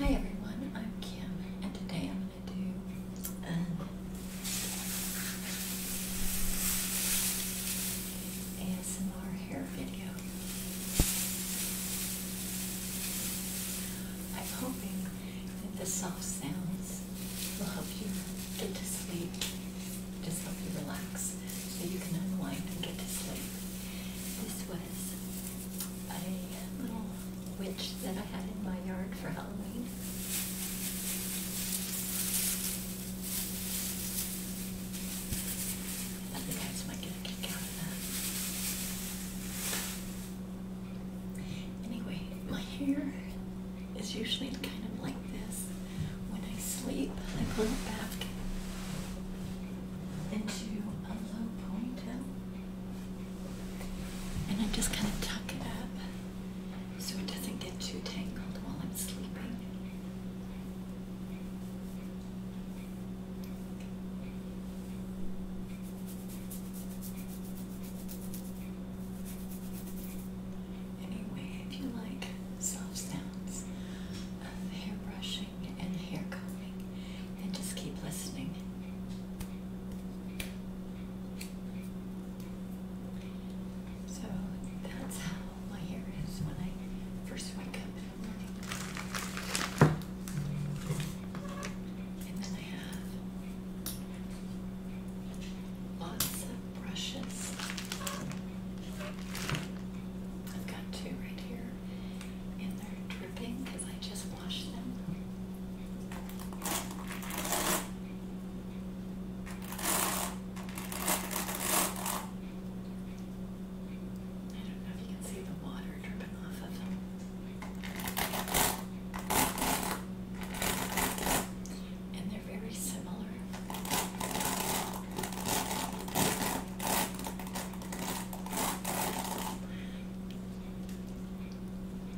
Hi everyone, I'm Kim, and today I'm want to do. Um, ASMR hair video. I'm hoping that the soft sounds will help you get to sleep, just help you relax so you can unwind and get to sleep. This was a little witch that I had in my yard for Halloween. I think might get a kick out of that. Anyway, my hair is usually kind of like this. When I sleep, I pull it back into a low ponytail and I just kind of tuck it up so it doesn't get too tangled while I'm sleeping. Anyway, if you like soft sounds of hair brushing and hair combing, and just keep listening. So that's how my hair is when I first wake up in the morning. And then I have lots of brushes. I've got two right here, and they're dripping because I just washed them. I don't know if you can see the water dripping off of them. And they're very similar.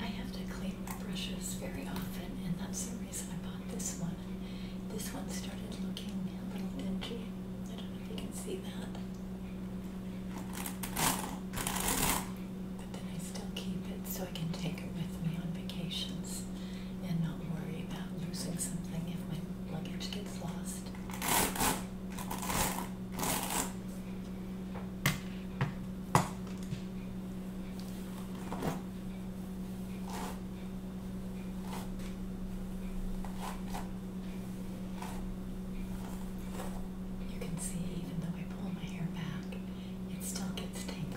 I have to clean my brushes very often, and that's the reason I bought this one. This one started looking a little dingy. I don't know if you can see that. But then I still keep it so I can take it with me on vacations and not worry about losing something if my luggage gets lost. You can see, even though I pull my hair back, it still gets tangled.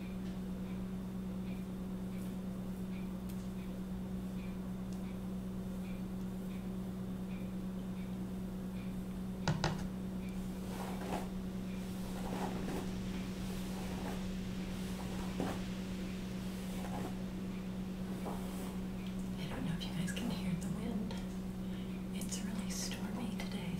I don't know if you guys can hear the wind. It's really stormy today.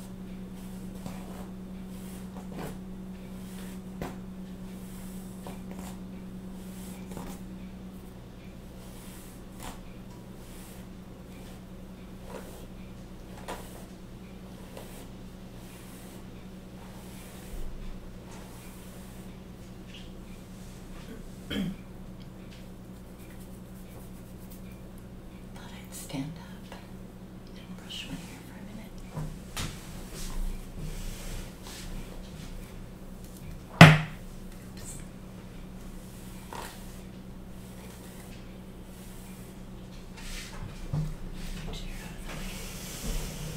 Thought I'd stand up. I'm gonna brush my hair for a minute. Oops. Get your hair out of the way. Okay.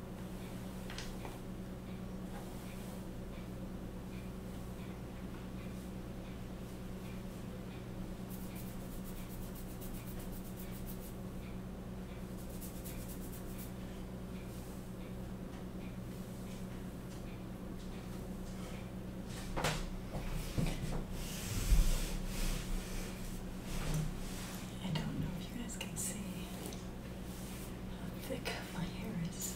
I don't know if you guys can see how thick my hair is.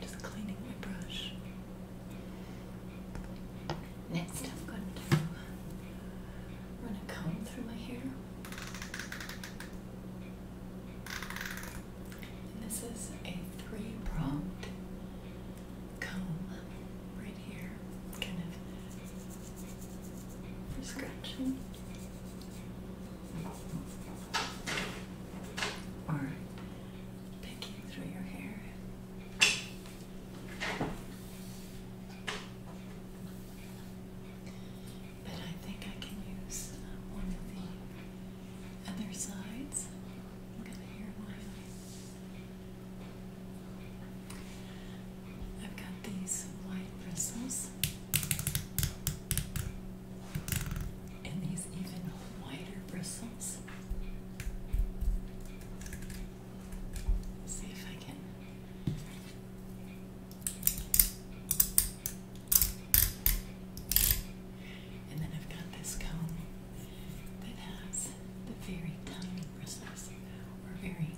Just cleaning my brush. Next, I'm going to run a comb through my hair. this is a three-pronged comb right here, kind of for scratching. Or picking through your hair. But I think I can use uh, one of the other sides. I'm going to hear mine. I've got these white bristles and these even wider bristles. see if I can. And then I've got this comb that has the very tiny bristles, or very,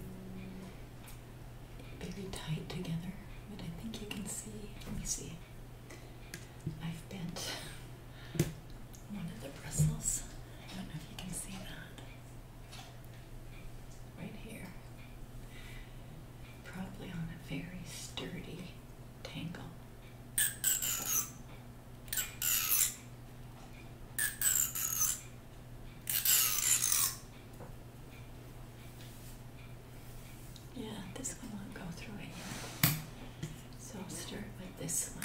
very tight together. But I think you can see. Let me see. I've bent one of the bristles. I don't know if you can see that. Right here. Probably on a very sturdy tangle. Yeah, this one won't go through it So I'll start with this one.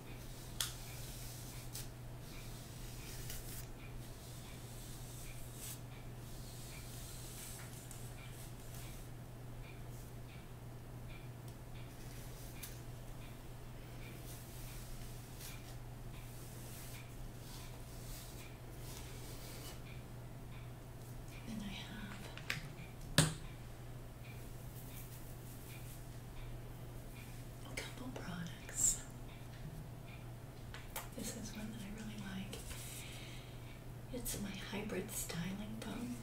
Then I have a couple products. This is one that I really like. It's my hybrid styling bone.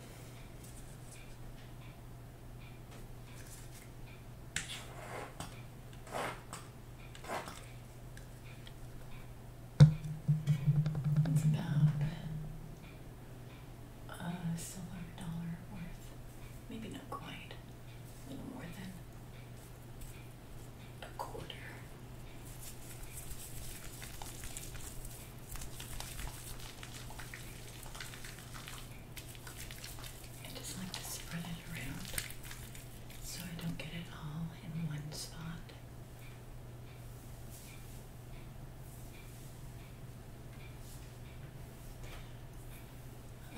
it's about a silver dollar worth. Maybe not quite. A little more than a quarter. I just like to spread it around so I don't get it all in one spot.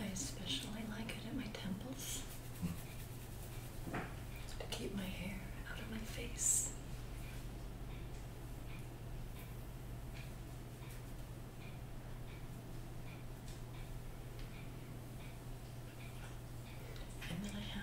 I especially like it at my temples to keep my hair out of my face. And then I have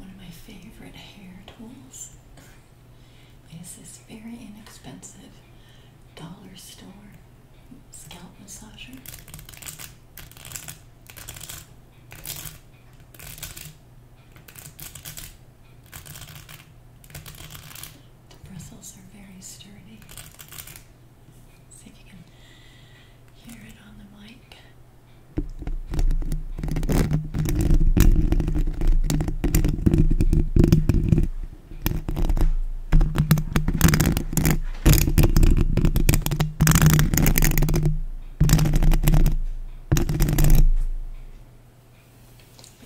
One of my favorite hair tools is this very inexpensive dollar store scalp massager. The bristles are very sturdy. See if you can hear it on the mic. But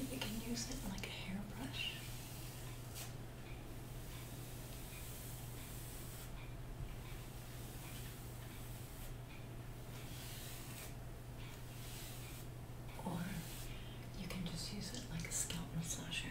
you can use it like a hairbrush. Or you can just use it like a scalp massager.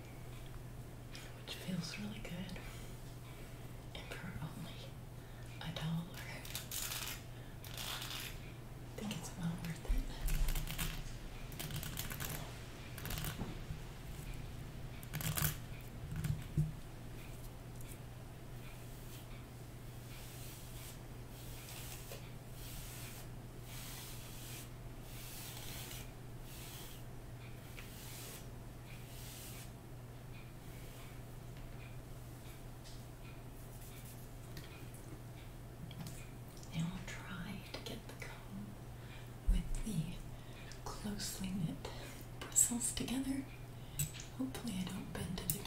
which feels really good, and for only a dollar. I think it's well worth it. I'll try to get the comb with the closely knit bristles together. Hopefully, I don't bend it again.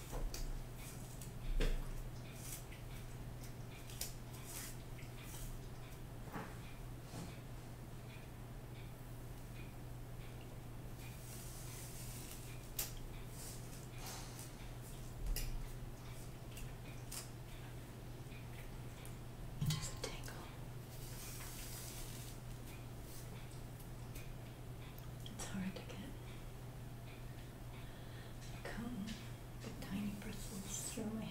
It's a tangle. It's hard to get comb with tiny bristles through my hair.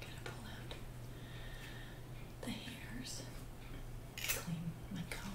Gotta pull out the hairs, clean my comb.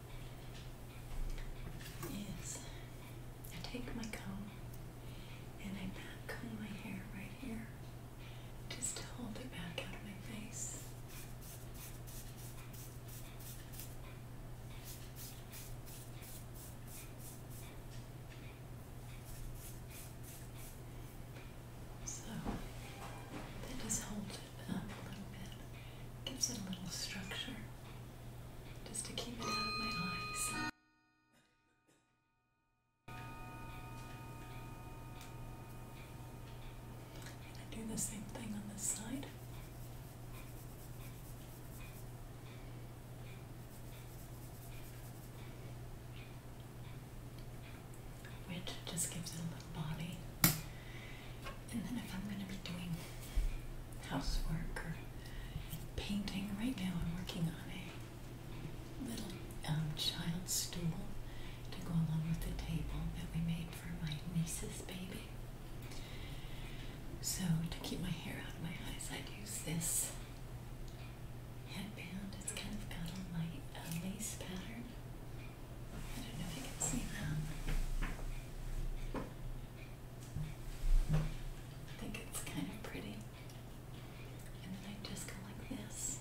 is I take my comb and I back comb my hair right here just to hold it back out of my face. So that does hold up a little bit. Gives it a little structure just to keep it out of my eyes. And I do the same thing on this side. Which just gives it a little body and then if I'm going to be doing housework or painting, right now I'm working on a little um, child stool to go along with the table that we made for my niece's baby. So to keep my hair out of my eyes, I use this headband. It's kind of got a light a lace pattern. I don't know if you can see that. I think it's kind of pretty. And then I just go like this.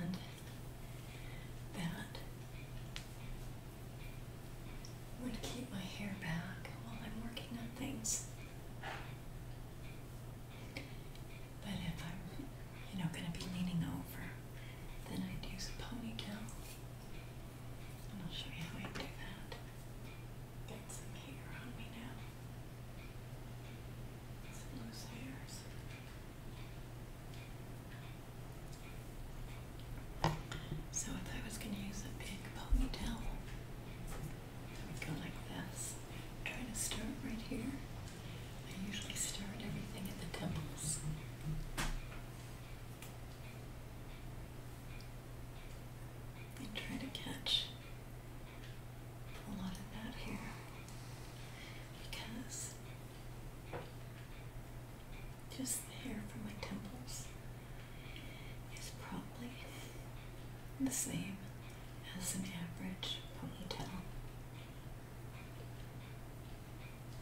And that would keep my hair back while I'm working on things. But if I'm, you know, going to be leaning over, then I'd use a ponytail. I'll show you how I do that. Get some hair on me now. Some loose hairs. So if I was going to use a big ponytail, we go like this. I'm trying to start right here. I usually start everything at the temples. I try to catch a lot of that here because just the hair from my temples is probably the same as an average ponytail.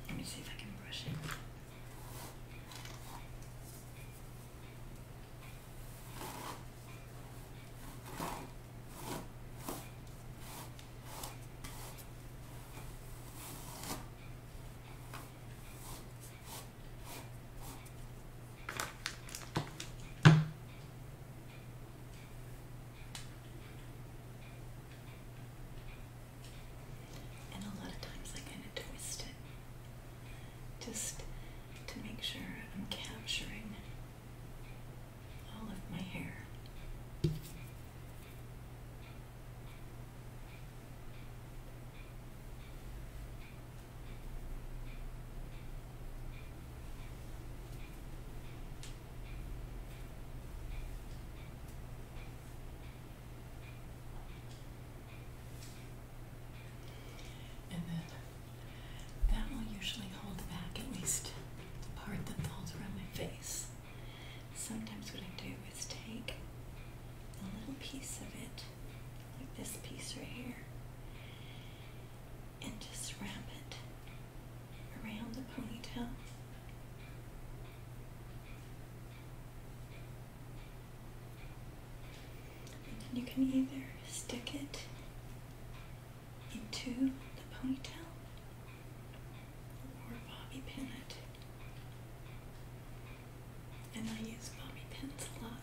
Let me see if I can brush it. And a lot of times I kind of twist it just to make sure I'm capturing all of my hair. And then that will usually hold back at least the part that falls around my face. Sometimes what I do is take a little piece of it, like this piece right here, and just wrap it around the ponytail. And then you can either stick it into the ponytail or bobby pin it. And I use bobby pins a lot.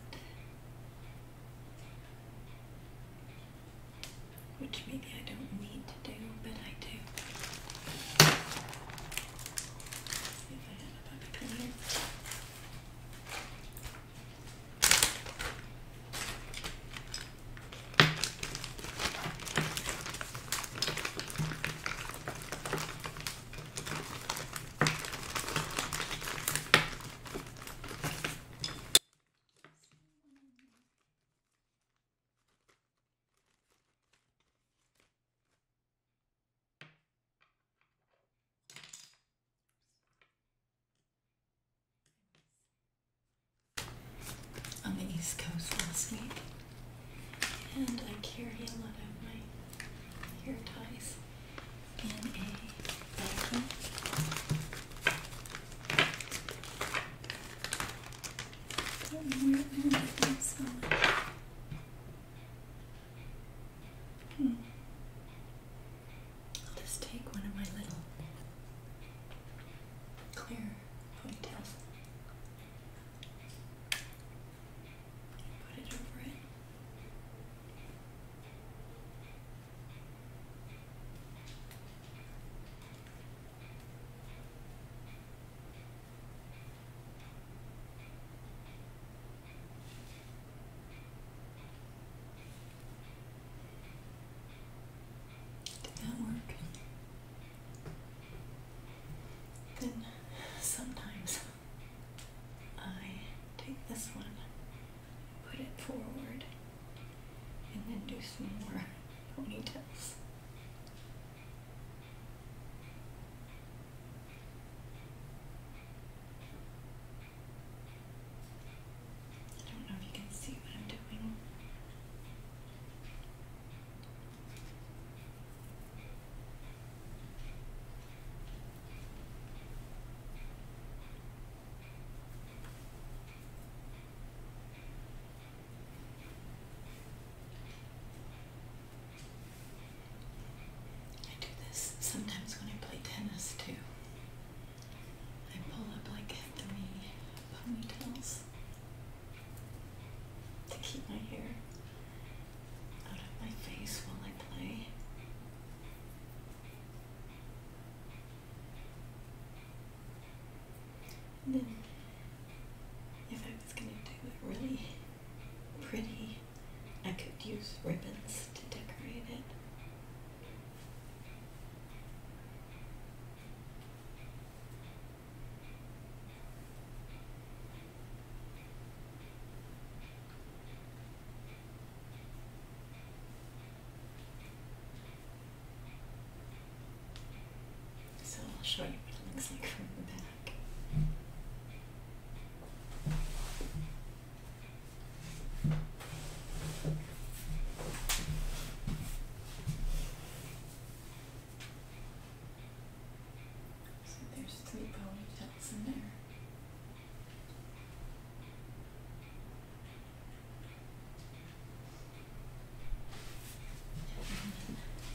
Which maybe I don't need to do, but I do. let I have a puppy pen here on the East Coast last week, and I carry a lot of my hair ties in a I'll just take one of my little clear ponytails put it over it. Did that work? Then sometimes I take this one put it forward, and then do some more ponytails. I don't know if you can see what I'm doing. I do this sometimes when I play tennis too. I pull up like three ponytails to keep my hair out of my face while I play. And then, if I was going to do it really pretty, I could use ribbons to decorate it. So I'll show you what it looks like from the back. So there's three ponytails in there.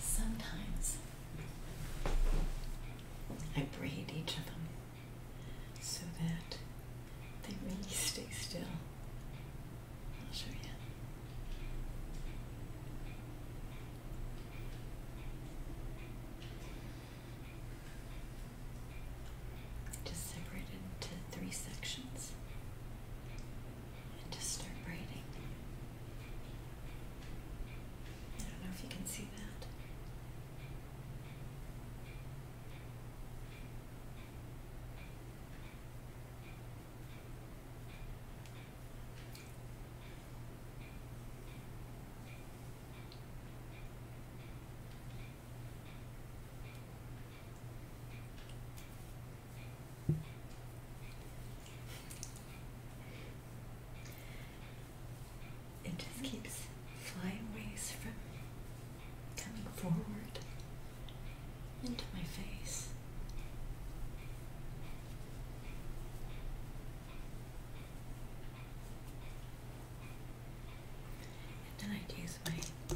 Sometimes I braid each of them so that they really stay still. I'll show you. Just separate it into three sections and just start braiding. I don't know if you can see that. It just keeps flying away from coming forward into my face. And then i use my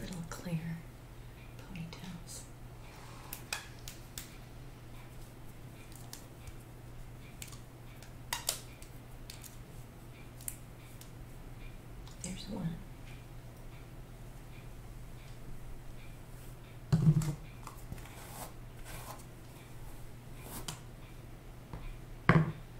little clear ponytails. There's one.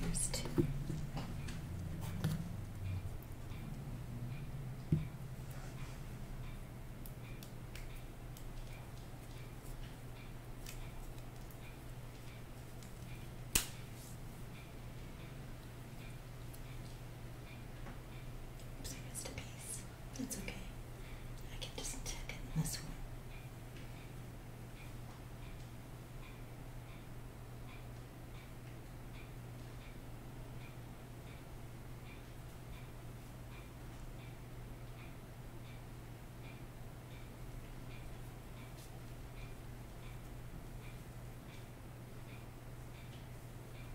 There's two. Oops, I piece. That's okay. I can just it in this one.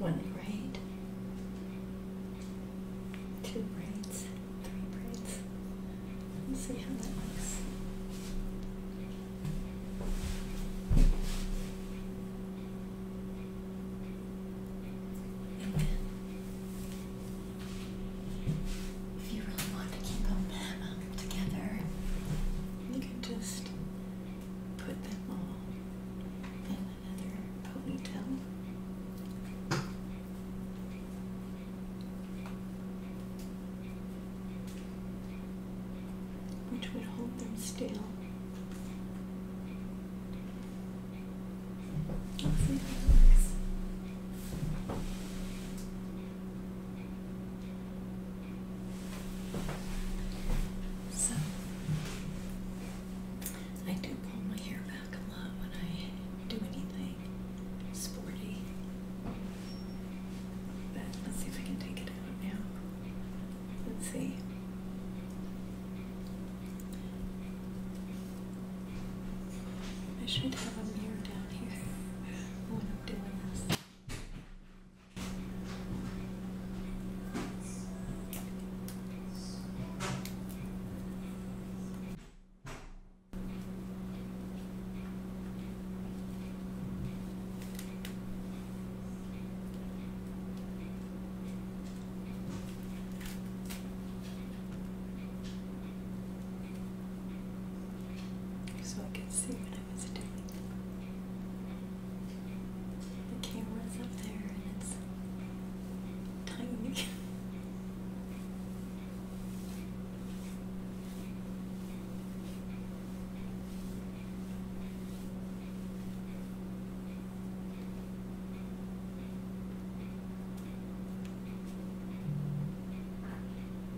One braid, two braids, three braids. Let's see how that looks. if you really want to keep them um, together, you can just put them all in another ponytail. Which would hold them still. Let's see how it looks. So, I do pull my hair back a lot when I do anything sporty. But let's see if I can take it out now. Let's see. I should have a mirror down here when I'm doing this so I can see what I was doing. The camera's up there and it's tiny.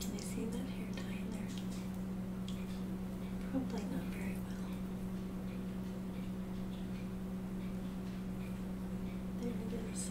Can you see that hair tie there? Probably not very well. There it is.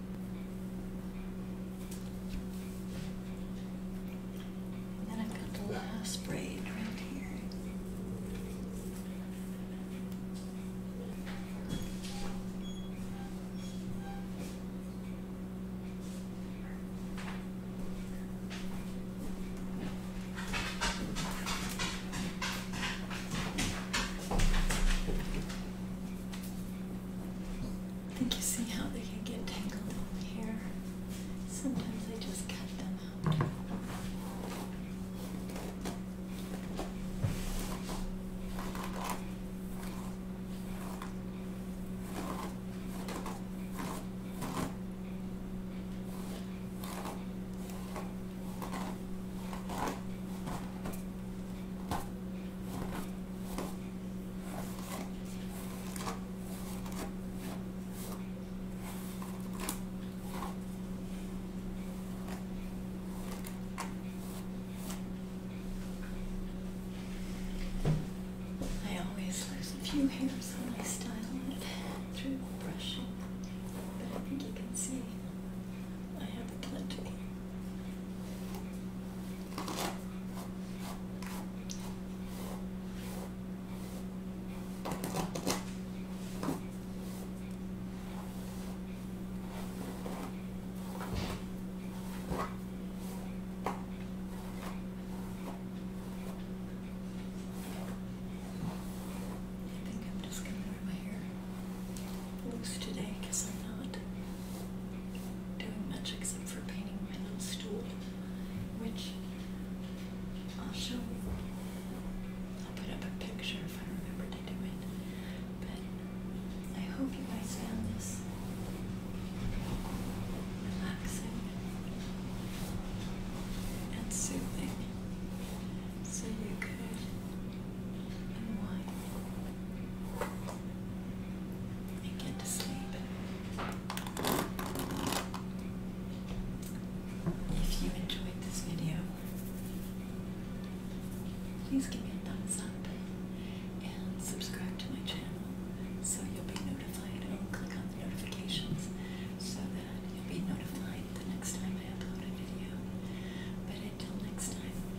And then I've got the last braid right here. I think you see how they can get tangled in here. Sometimes I just cut them out. I always lose a few hairs when I style it through brushing, but I think you can see I have plenty. I think I'm just gonna wear my hair loose today because I'm not doing much except for painting my little stool, which I'll show I'll put up a picture if I remember to do it. But I hope you guys found this relaxing and soothing so you could unwind and If you enjoyed this video, please give me a thumbs up and subscribe to my channel so you'll be notified or click on the notifications so that you'll be notified the next time I upload a video. But until next time,